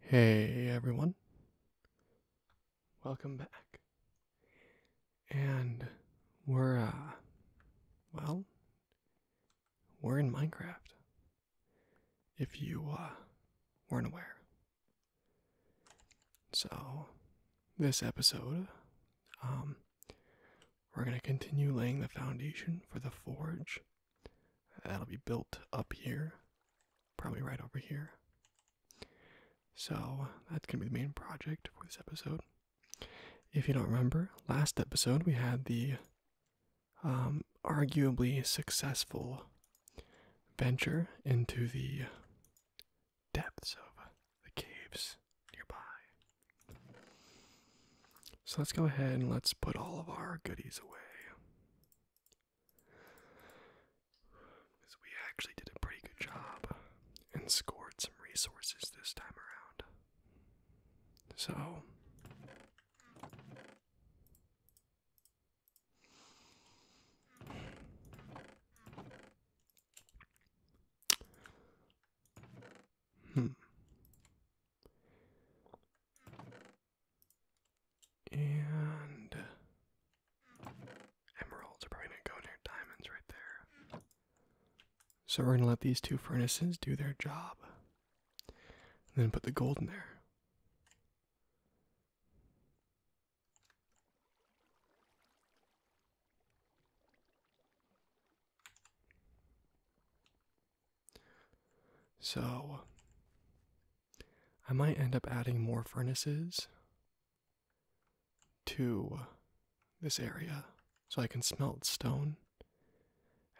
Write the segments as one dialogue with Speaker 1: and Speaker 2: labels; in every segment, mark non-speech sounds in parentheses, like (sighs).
Speaker 1: Hey everyone, welcome back. And we're, uh, well, we're in Minecraft. If you, uh, weren't aware. So, this episode, um, we're going to continue laying the foundation for the forge. That'll be built up here, probably right over here. So that's going to be the main project for this episode. If you don't remember, last episode we had the um, arguably successful venture into the depths of the caves nearby. So let's go ahead and let's put all of our goodies away. Because we actually did a pretty good job and scored some resources this time around. So. Hmm. And emeralds are probably going to go near diamonds right there. So we're going to let these two furnaces do their job. And then put the gold in there. So, I might end up adding more furnaces to this area so I can smelt stone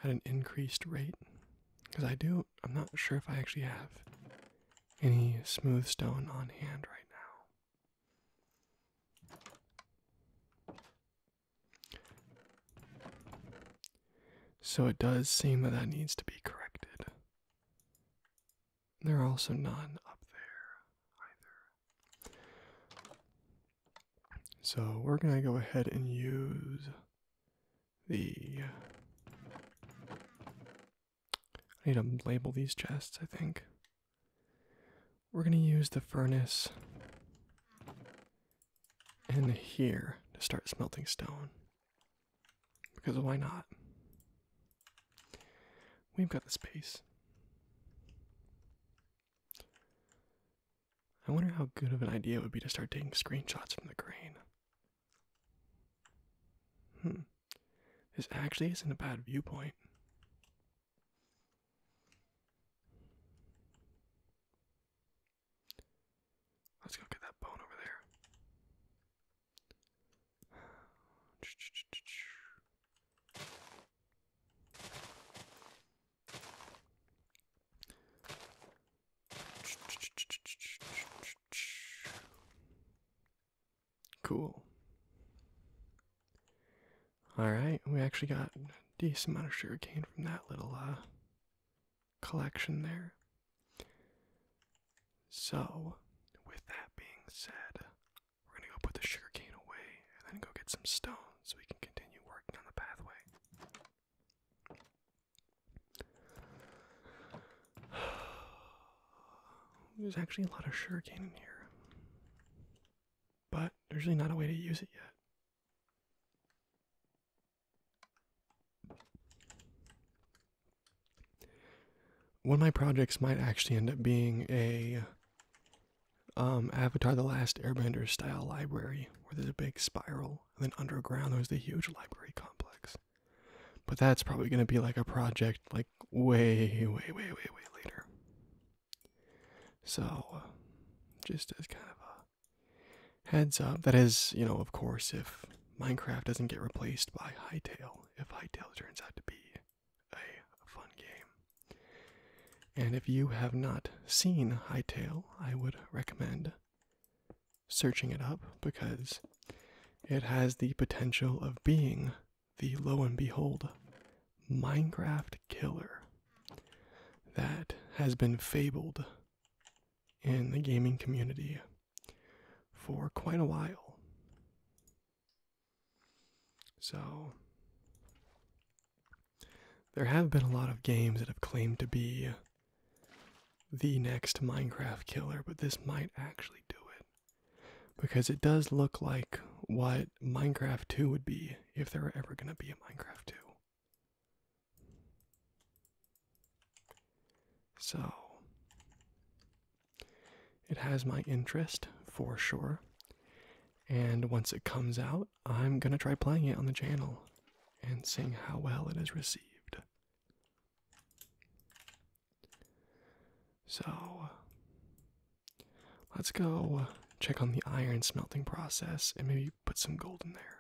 Speaker 1: at an increased rate. Because I do, I'm not sure if I actually have any smooth stone on hand right now. So it does seem that that needs to be corrected. There are also none up there either. So we're going to go ahead and use the. I need to label these chests, I think. We're going to use the furnace in here to start smelting stone. Because why not? We've got the space. I wonder how good of an idea it would be to start taking screenshots from the crane. Hmm. This actually isn't a bad viewpoint. Let's go get that bone over there. Cool. All right, we actually got a decent amount of sugarcane from that little uh collection there. So, with that being said, we're gonna go put the sugar cane away and then go get some stone so we can continue working on the pathway. (sighs) There's actually a lot of sugar cane in here, but there's really not a way to use it yet. One of my projects might actually end up being a um, Avatar The Last Airbender style library where there's a big spiral, and then underground there's the huge library complex. But that's probably going to be like a project like way, way, way, way, way later. So, just as kind of a Heads up. That is, you know, of course, if Minecraft doesn't get replaced by Hightail, if Hightail turns out to be a fun game. And if you have not seen Hightail, I would recommend searching it up because it has the potential of being the lo and behold Minecraft killer that has been fabled in the gaming community for quite a while. So, there have been a lot of games that have claimed to be the next Minecraft killer, but this might actually do it. Because it does look like what Minecraft 2 would be if there were ever going to be a Minecraft 2. So, it has my interest for sure. And once it comes out, I'm gonna try playing it on the channel and seeing how well it is received. So, let's go check on the iron smelting process and maybe put some gold in there.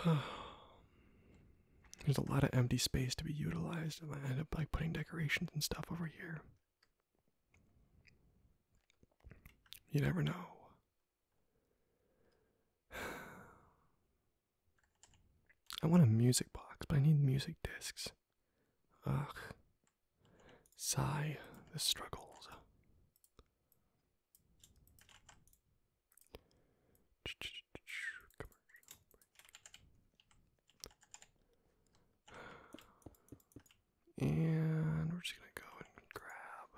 Speaker 1: (sighs) There's a lot of empty space to be utilized, and I end up like putting decorations and stuff over here. You never know. (sighs) I want a music box, but I need music discs. Ugh. Sigh the struggles. (sighs) And we're just gonna go and grab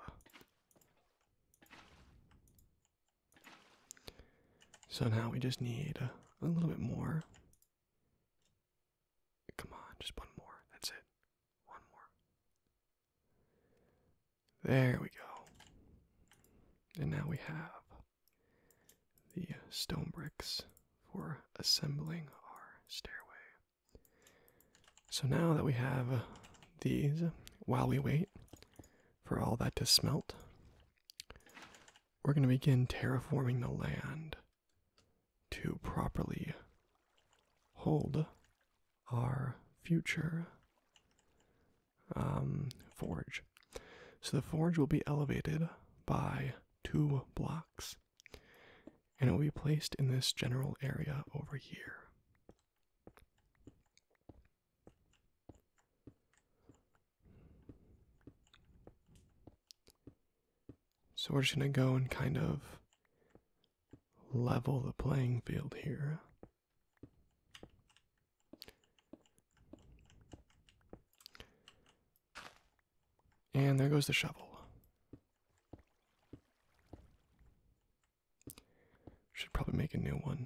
Speaker 1: so now we just need a, little bit more. Come on, just one more. That's it. One more. There we go. And now we have the stone bricks for assembling our stairway. So now that we have these, while we wait, for all that to smelt. We're going to begin terraforming the land to properly hold our future um, forge. So the forge will be elevated by two blocks and it will be placed in this general area over here. So we're just going to go and kind of level the playing field here. And there goes the shovel. Should probably make a new one.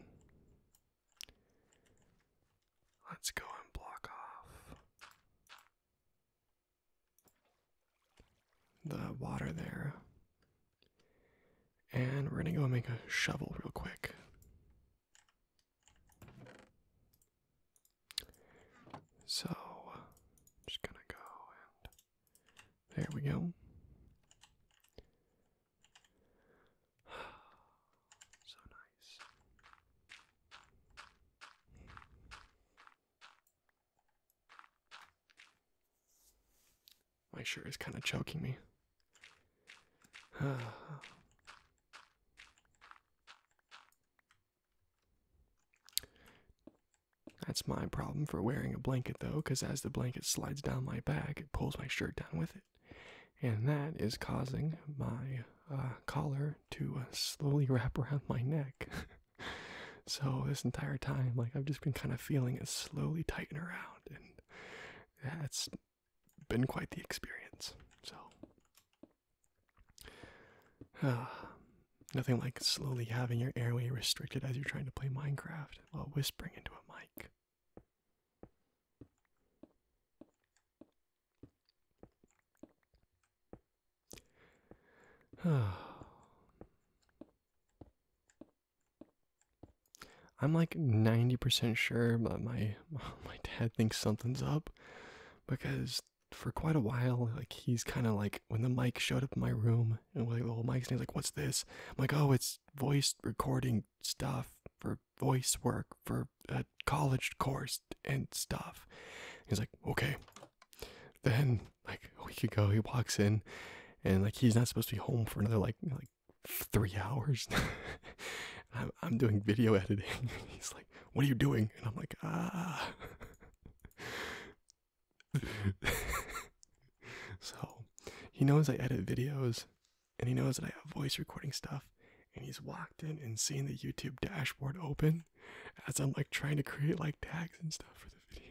Speaker 1: Let's go and block off the water there. And we're going to go and make a shovel real quick. So, just going to go and there we go. (sighs) so nice. My shirt is kind of choking me. (sighs) That's my problem for wearing a blanket, though, because as the blanket slides down my back, it pulls my shirt down with it and that is causing my uh, collar to uh, slowly (laughs) wrap around my neck. (laughs) so this entire time, like I've just been kind of feeling it slowly tighten around, and that's has been quite the experience. So. Uh, nothing like slowly having your airway restricted as you're trying to play Minecraft while whispering into a mic. (sighs) I'm like 90% sure but my (laughs) my dad thinks something's up because for quite a while like he's kind of like when the mic showed up in my room and like the whole mic's he's like what's this? I'm like oh it's voice recording stuff for voice work for a college course and stuff. He's like, okay. Then like a week ago, he walks in, and like he's not supposed to be home for another like like three hours. (laughs) I'm I'm doing video editing. (laughs) he's like, what are you doing? And I'm like, ah. (laughs) so he knows I edit videos and he knows that I have voice recording stuff, and he's walked in and seen the YouTube dashboard open as I'm like trying to create like tags and stuff for the video.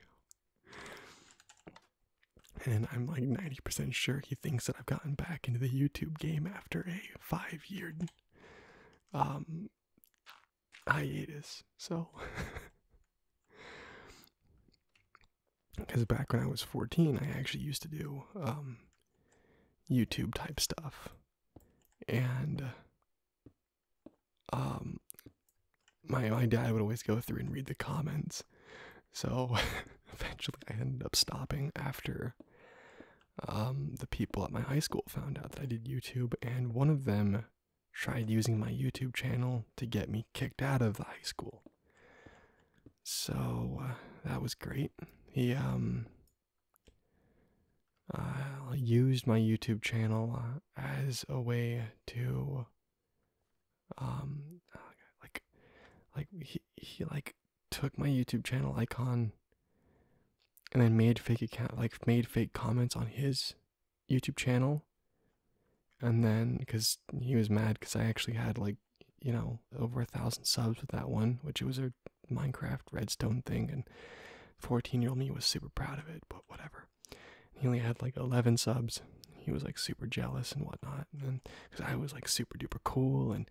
Speaker 1: And I'm like 90% sure he thinks that I've gotten back into the YouTube game after a five year um, hiatus. So (laughs) because back when I was 14, I actually used to do um, YouTube type stuff. And um, my, my dad would always go through and read the comments. So (laughs) eventually I ended up stopping after um, the people at my high school found out that I did YouTube, and one of them tried using my YouTube channel to get me kicked out of the high school. So uh, that was great. He um uh, used my YouTube channel uh, as a way to um like like he he like took my YouTube channel icon and then made fake account like made fake comments on his YouTube channel and then because he was mad because I actually had like you know over a thousand subs with that one, which it was a Minecraft redstone thing, and 14 year old me was super proud of it, but whatever. he only had like 11 subs. He was like super jealous and whatnot, and because I was like super duper cool, and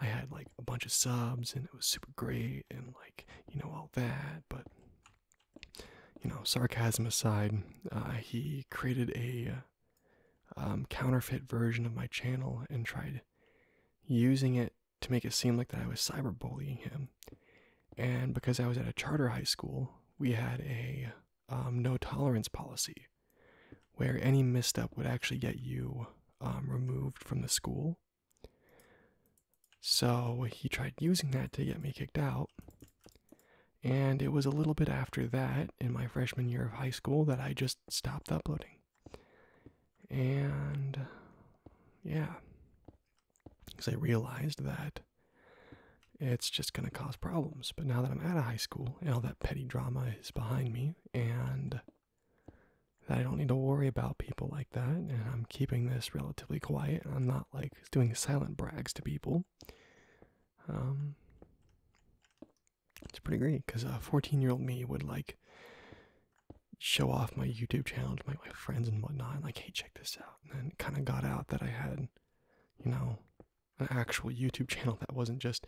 Speaker 1: I had like a bunch of subs, and it was super great, and like you know all that, but. You know, sarcasm aside, uh, he created a uh, um, counterfeit version of my channel and tried using it to make it seem like that I was cyberbullying him. And because I was at a charter high school, we had a um, no tolerance policy where any misstep would actually get you um, removed from the school. So he tried using that to get me kicked out. And it was a little bit after that in my freshman year of high school that I just just stopped uploading. And yeah, because I realized that it's just going to cause problems. But now that I'm out of high school and all that petty drama is behind me, and that I don't need to worry about people like that, and I'm keeping this relatively quiet, I'm not like doing silent brags to people. Um, it's pretty great because a uh, 14 year old me would like show off my YouTube channel to my, friends and whatnot, like, hey, check this out. And then kind of got out that I had, you know, an actual YouTube (laughs) channel that wasn't just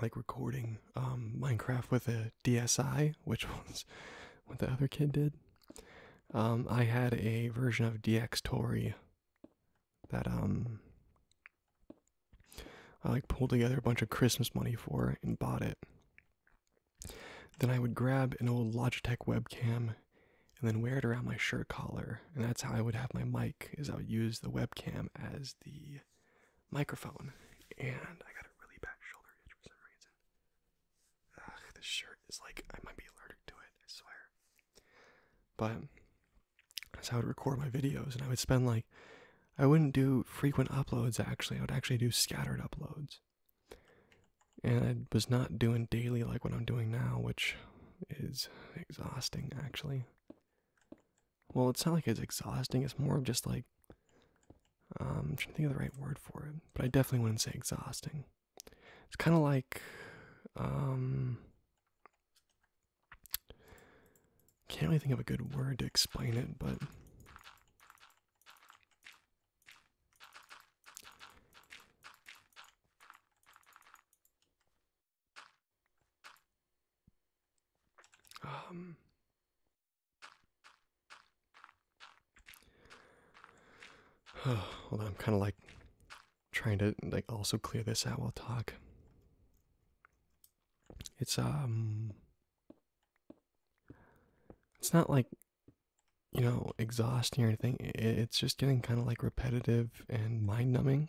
Speaker 1: like recording um, Minecraft with a DSI, which (laughs) was what the other kid did. Um, I had a version of DX Tori that um I like pulled together a bunch of Christmas money for and bought it. Then I would grab an old Logitech webcam and then wear it around my shirt collar, and that's how I would have my mic. Is I would use the webcam as the microphone, and I got a really bad shoulder itch for some reason. this shirt is like I might be allergic to it. I swear. But that's how I would record my videos, and I would spend like, I wouldn't do frequent uploads actually, I would actually do scattered uploads. And I was not doing daily like what I'm doing now, which is exhausting actually. Well, it's not like it's exhausting, it's more of just like, um, I'm trying to think of the right word for it, but I definitely wouldn't say exhausting. It's kind of like, um, can't really think of a good word to explain it, but um (sighs) oh, I'm kind of like trying to like also clear this out while talk. It's um it's not like you know exhausting or anything. It's just getting kind of like repetitive and mind numbing.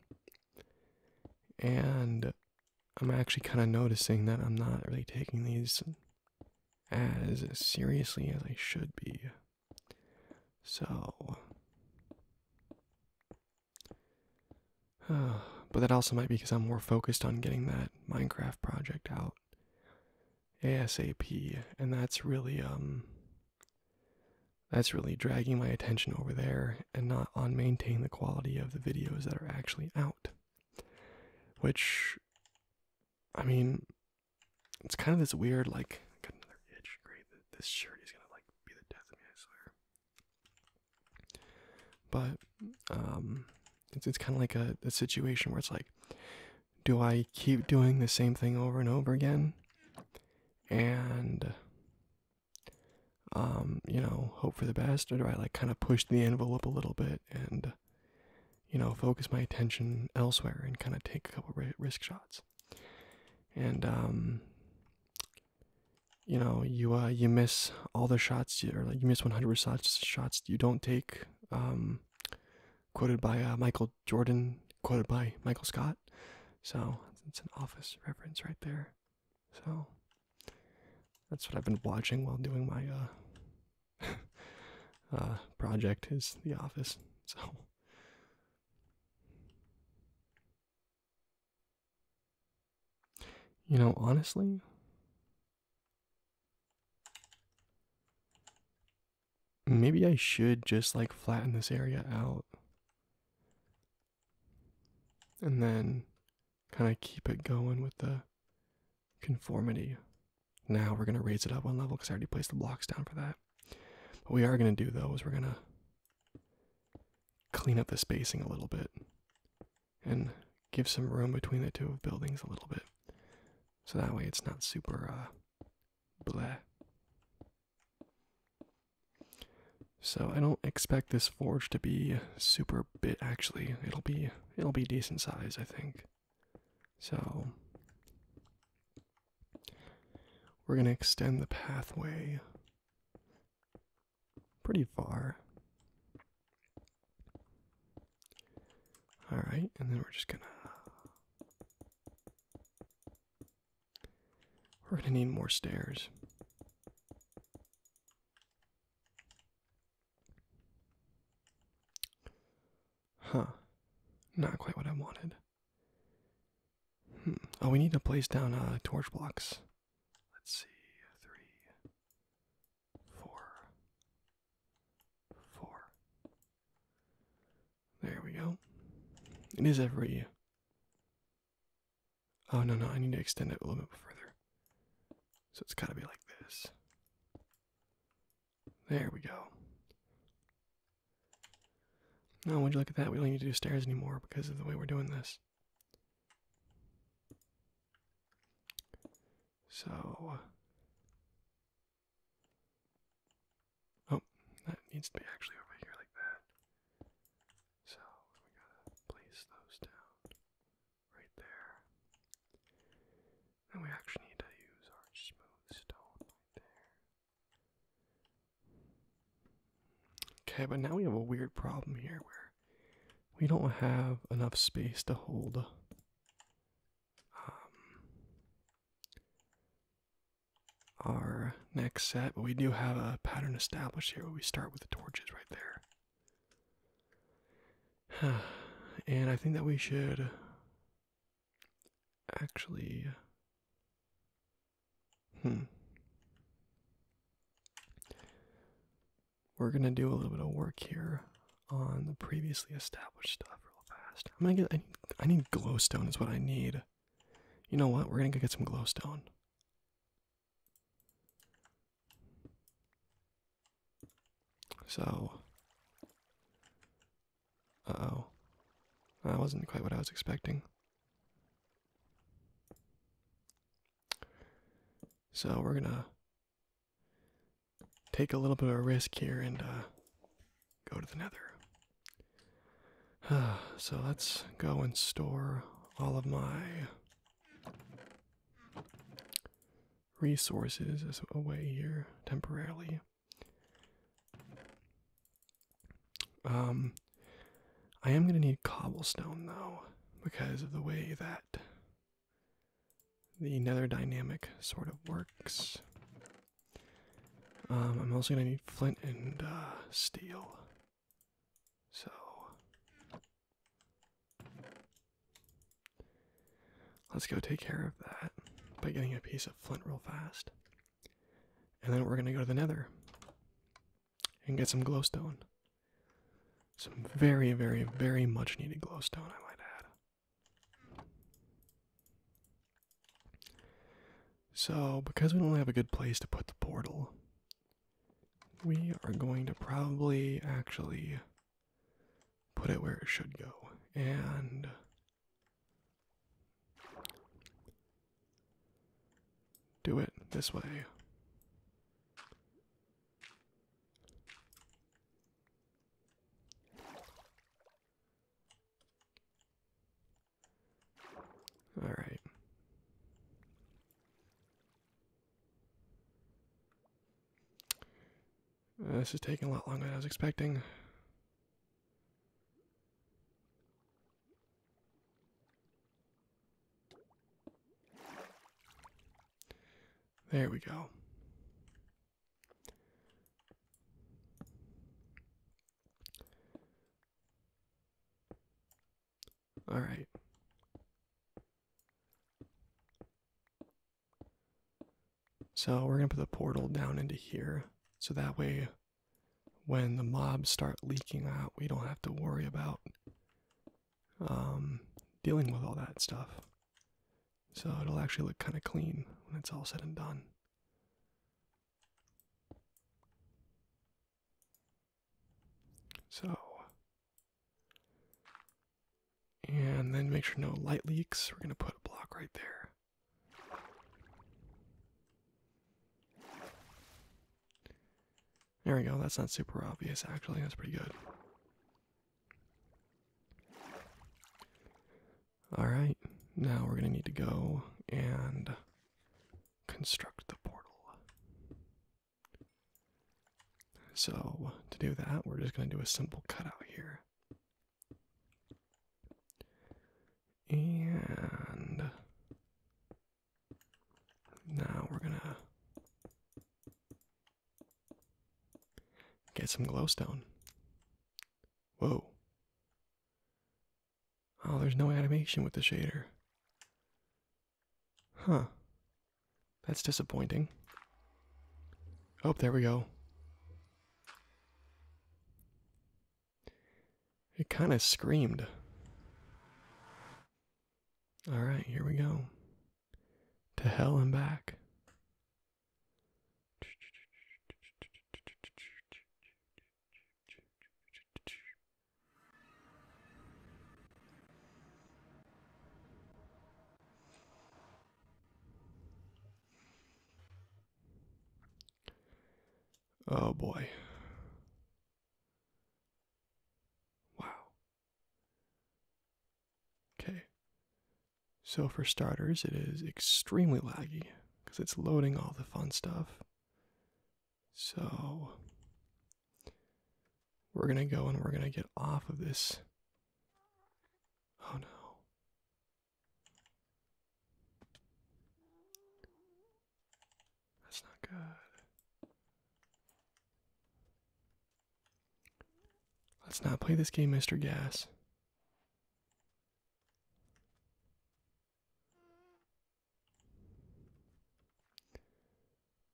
Speaker 1: And I'm actually kind of noticing that I'm not really taking these as seriously as I should be. So (sighs) but that also might be because I'm more focused on getting that Minecraft project out ASAP, and that's really um that's really dragging my attention over there and not on maintaining the quality of the videos that are actually out. Which I mean it's kind of this weird like this shirt is gonna like be the death of me, I swear. But um, it's, it's kind of like a, a situation where it's like, do I keep doing the same thing over and over again? And, um, you know, hope for the best, or do I like kind of push the envelope a little bit and, you know, focus my attention elsewhere and kind of take a couple risk shots? And, um, you know you uh you miss all the shots you, or like you miss 100 shots you don't take um quoted by uh, michael jordan quoted by michael scott so it's an office reference right there so that's what i've been watching while doing my uh, (laughs) uh project is the office so you know, honestly, maybe I should just like flatten this area out and then kind of keep it going with the conformity. Now we're going to raise it up one level because I already placed the blocks down for that. What we are going to do though is we're going to clean up the spacing a little bit and give some room between the two buildings a little bit. So that way it's not super uh bleh. So I don't expect this forge to be super bit actually. It'll be it'll be decent size, I think. So we're going to extend the pathway pretty far. Alright, and then we're just gonna. We're gonna need more stairs. Huh. Not quite what I wanted. Hmm. Oh, we need to place down uh, torch blocks Let's see, three, four, four. There we go. It is every. Oh, no, no, I need to extend it a little bit further. So it's gotta be like this. There we go. Now, would you look at that? We don't need to do stairs anymore because of the way we're doing this. So, oh, that needs to be actually over here like that. So we gotta place those down right there. And we actually need to use our smooth stone right there. Okay, but now we have a weird problem here where we don't have enough space to hold um, our next set, but we do have a pattern established here where we start with the torches right there. (sighs) and I think that we should actually Hmm. We're gonna do a little bit of work here on the previously established stuff real fast. I'm gonna get. I need, glowstone. Is what I need. You know what? We're gonna go get some glowstone. So. Uh oh. That wasn't quite what I was expecting. So we're gonna take a little bit of a risk here and uh, go to the nether. (sighs) so let's go and store all of my resources away here temporarily. Um, I am going to need cobblestone though, because of the way that the nether dynamic sort of works. Um, I'm also going to need flint and uh, steel. So. Let's go take care of that by getting a piece of flint real fast. And then we're going to go to the nether and get some glowstone. Some very, very, very much needed glowstone, I might add. So, because we don't have a good place to put the portal, we are going to probably actually put it where it should go. And do it this way. All right. Uh, this is taking a lot longer than I was expecting. There we go. All right. So we're going to put the portal down into here. So that way, when the mobs start leaking out, we don't have to worry about um, dealing with all that stuff. So it'll actually look kind of clean when it's all said and done. So, and then make sure no light leaks. We're going to put a block right there. There we go, that's not super obvious actually, that's pretty good. Alright, now we're gonna need to go and construct the portal. So, to do that, we're just gonna do a simple cutout here. And now we're gonna get some glowstone. Whoa. Oh, there's no animation with the shader. Huh. That's disappointing. Oh, there we go. It kind of screamed. All right, here we go. To hell and back. Oh boy. Wow. Okay, so for starters, it is extremely laggy because it's loading all the fun stuff. So we're going to go and we're going to get off of this. Oh no. That's not good. Let's not play this game, Mr. Gas.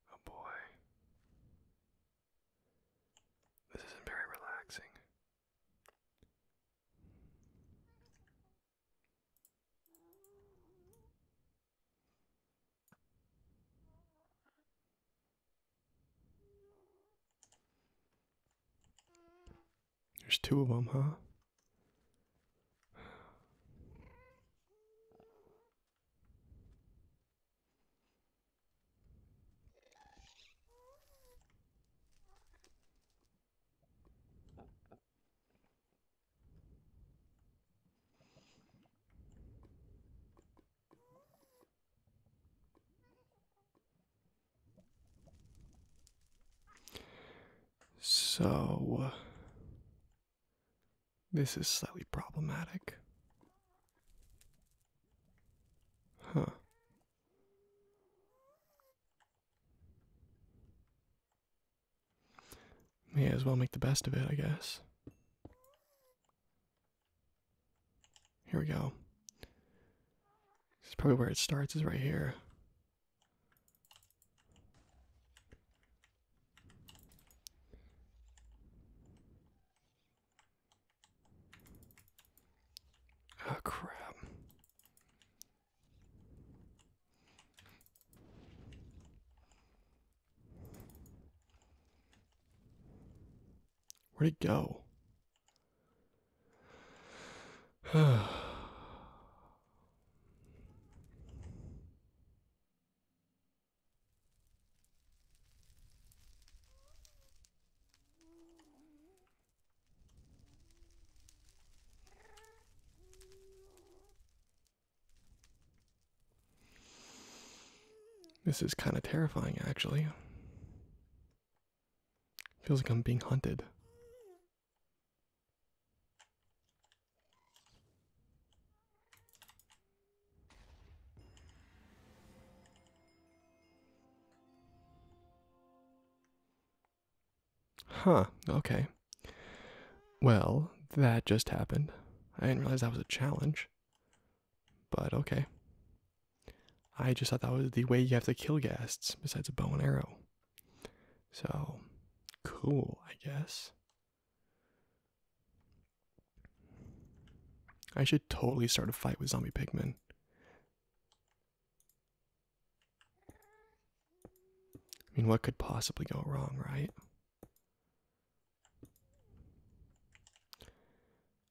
Speaker 1: Oh boy. This isn't very relaxing. There's two of them, huh? So, this is slightly problematic. Huh. May as well make the best of it, I guess. Here we go. This is probably where it starts, is right here. Oh, crap. Where'd it go? This is kind of terrifying, actually. Feels like I'm being hunted. Huh, okay. Well, that just happened. I didn't realize that was a challenge. But okay. I just thought that was the way you have to kill ghasts besides a bow and arrow. So cool, I guess. I should totally start a fight with zombie pigmen. I mean, what could possibly go wrong, right?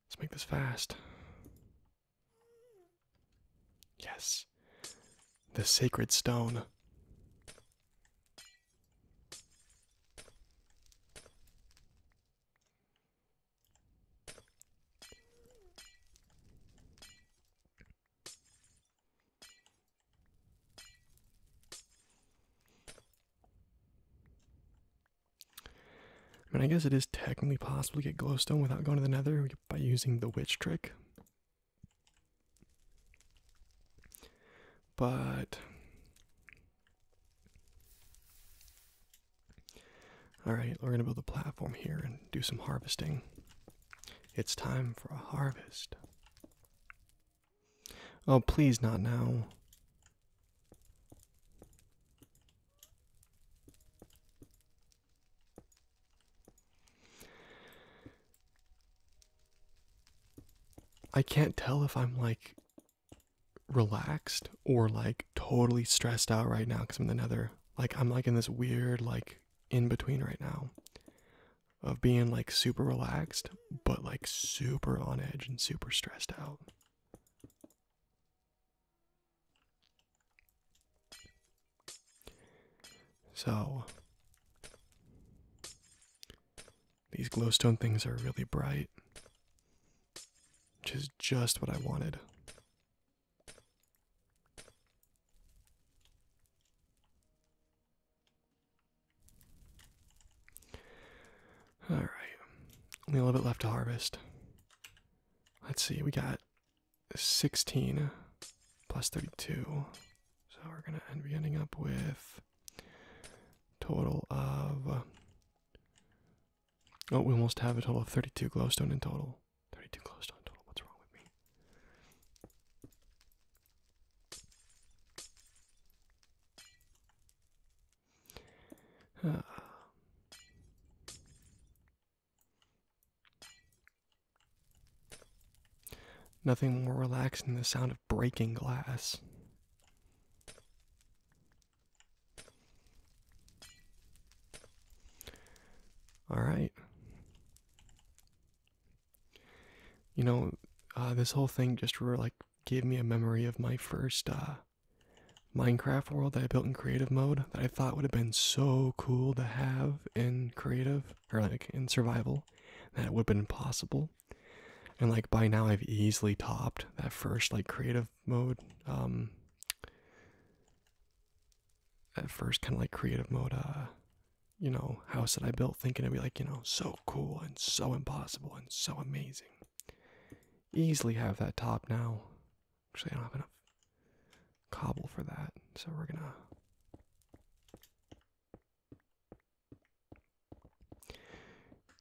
Speaker 1: Let's make this fast. Yes. The sacred stone. I mean, I guess it is technically possible to get glowstone without going to the nether by using the witch trick. But. Alright, we're gonna build a platform here and do some harvesting. It's time for a harvest. Oh, please, not now. I can't tell if I'm like relaxed or like totally stressed out right now because I'm in the nether. Like, I'm like in this weird, like, in between right now of being like super relaxed, but like super on edge and super stressed out. So, these glowstone things are really bright, which is just what I wanted. Alright. Only a little bit left to harvest. Let's see, we got 16 plus 32. So we're going to end be ending up with total of Oh, we almost have a total of 32 glowstone in total. 32 glowstone total. What's wrong with me? (sighs) Nothing more relaxing than the sound of breaking glass. All right. You know, uh, this whole thing just were like gave me a memory of my first uh, Minecraft world that I built in creative mode that I thought would have been so cool to have in creative or like in survival that it would have been possible. And like by now, I've easily topped that first like creative mode, um, that first kind of like creative mode, uh, you know, house that I built thinking it'd be like, you know, so cool and so impossible and so amazing easily have that top now. Actually, I don't have enough cobble for that, so we're gonna.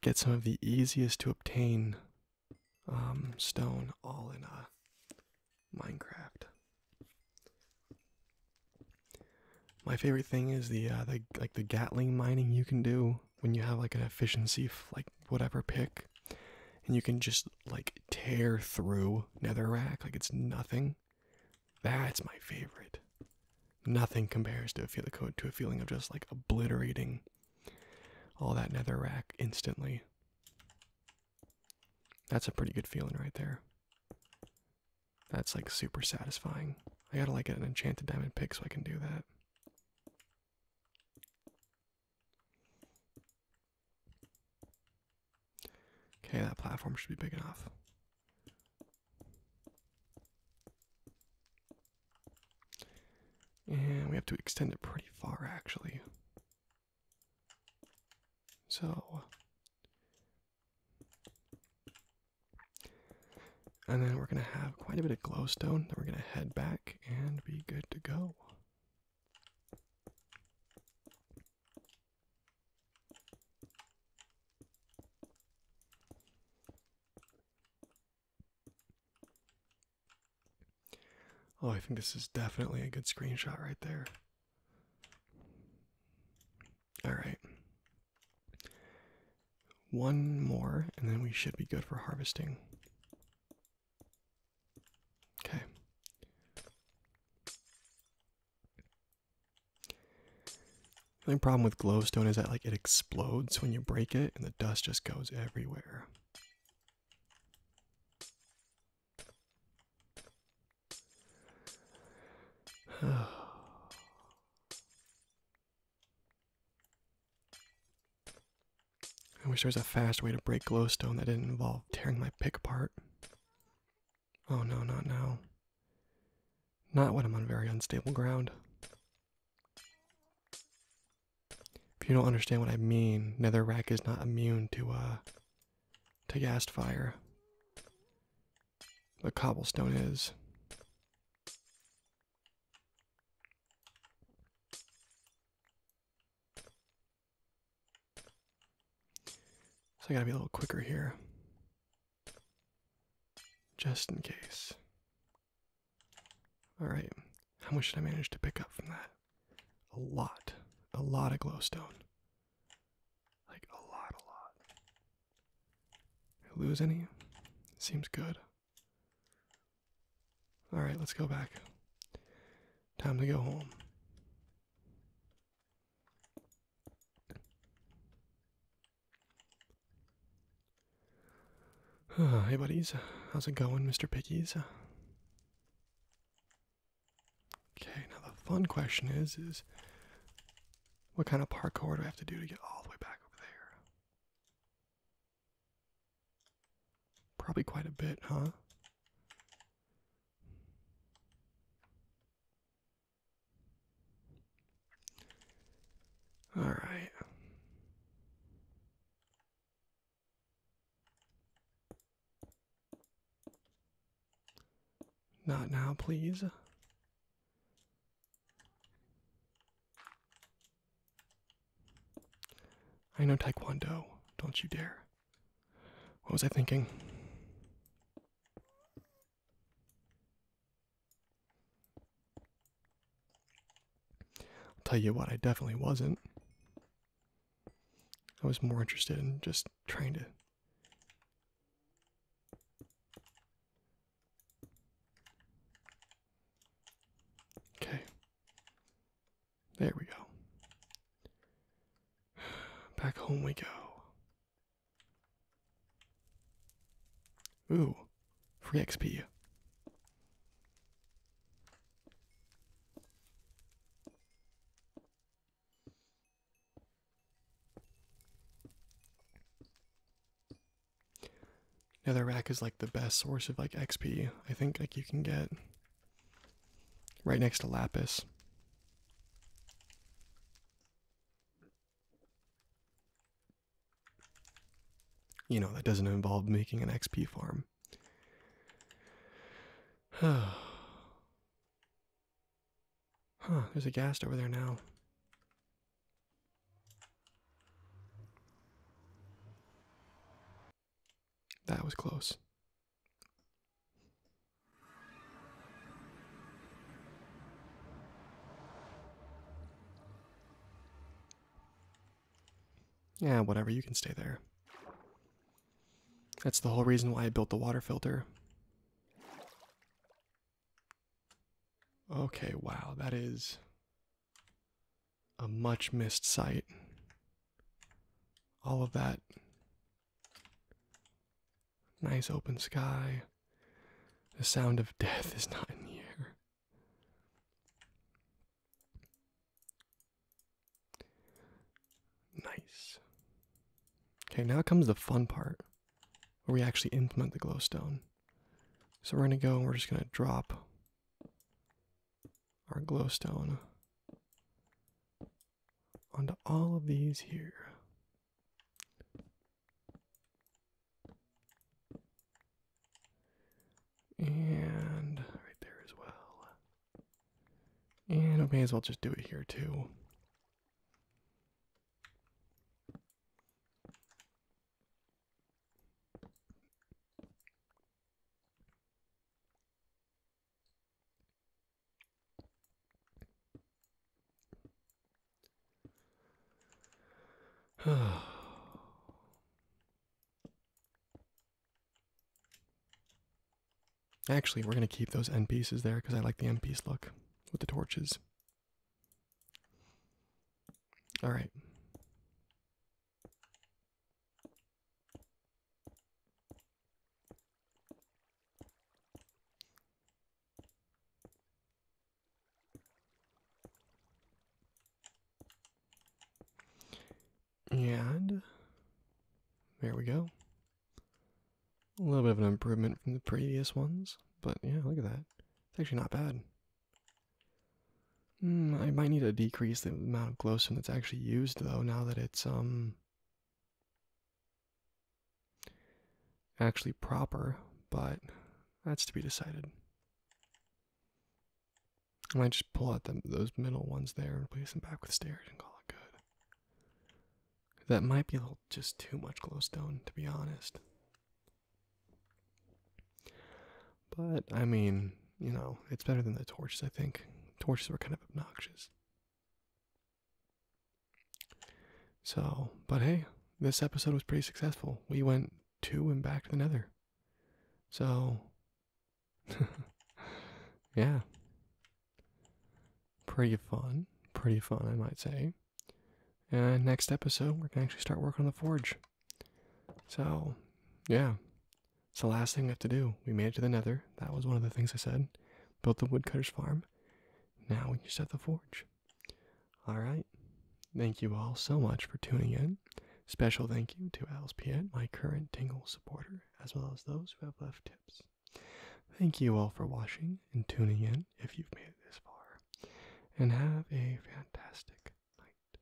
Speaker 1: Get some of the easiest to obtain um, stone all in a uh, Minecraft. My favorite thing is the uh, the like the Gatling mining you can do when you have like an efficiency like whatever pick and you can just like tear through nether netherrack like it's nothing that's my favorite nothing compares to a feel the code to a feeling of just like obliterating all that nether netherrack instantly that's a pretty good feeling right there that's like super satisfying i gotta like get an enchanted diamond pick so i can do that Okay, that platform should be big enough. And we have to extend it pretty far actually. So and then we're going to have quite a bit of glowstone. Then we're going to head back and be good to go. Oh, I think this is definitely a good screenshot right there. All right one more, and then we should be good for harvesting. Okay. The only problem with glowstone is that like it explodes when you break it, and the dust just goes everywhere. (sighs) (sighs) I wish there was a fast way to break glowstone that didn't involve tearing my pick apart. Oh no, not now. Not when I'm on very unstable ground. If you don't understand what I mean, nether netherrack is not immune to, uh, to gas fire. The cobblestone is. So I gotta be a little quicker here, just in case. Alright, how much did I manage to pick up from that? A lot. A lot of glowstone. Like, a lot, a lot. lose any? Seems good. All right, let's go back. Time to go home. (sighs) hey, buddies. How's it going, Mr. Pickies? Okay, now the fun question is, is what kind of parkour do I have to do to get all the way back over there? Probably quite a bit, huh? All right. Not now, please. I know Taekwondo. Don't you dare. What was I thinking? I'll tell you what, I definitely wasn't. I was more interested in just trying to. Okay. There we go. Back home we go. Ooh, free XP. Another rack is like the best source of like XP. I think like you can get right next to Lapis. You know, that doesn't involve making an XP farm. (sighs) huh, there's a ghast over there now. That was close. Yeah, whatever, you can stay there. That's the whole reason why I built the water filter. Okay, wow, that is a much missed sight. All of that nice open sky. The sound of death is not in the air. Nice. Okay, now comes the fun part where we actually implement the glowstone. So we're going to go and we're just going to drop our glowstone onto all of these here. And right there as well. And I may as well just do it here too. (sighs) Actually, we're going to keep those end pieces there because I like the end piece look with the torches. All right. And there we go. A little bit of an improvement from the previous ones, but yeah, look at that. It's actually not bad. Hmm, I might need to decrease the amount of glowstone that's actually used, though, now that it's um actually proper, but that's to be decided. I might just pull out them, those middle ones there and place them back with stairs and call it good. That might be a little, just too much glowstone, to be honest. But, I mean, you know, it's better than the torches, I think. Torches were kind of obnoxious. So, but hey, this episode was pretty successful. We went to and back to the nether. So, (laughs) yeah. Pretty fun. Pretty fun, I might say. And next episode, we're going to actually start working on the forge. So, yeah. It's the last thing we have to do. We made it to the nether. That was one of the things I said. Built the woodcutter's farm. Now we can set the forge. Alright. Thank you all so much for tuning in. Special thank you to Alspiet, my current Tingle supporter, as well as those who have left tips. Thank you all for watching and tuning in if you've made it this far. And have a fantastic night.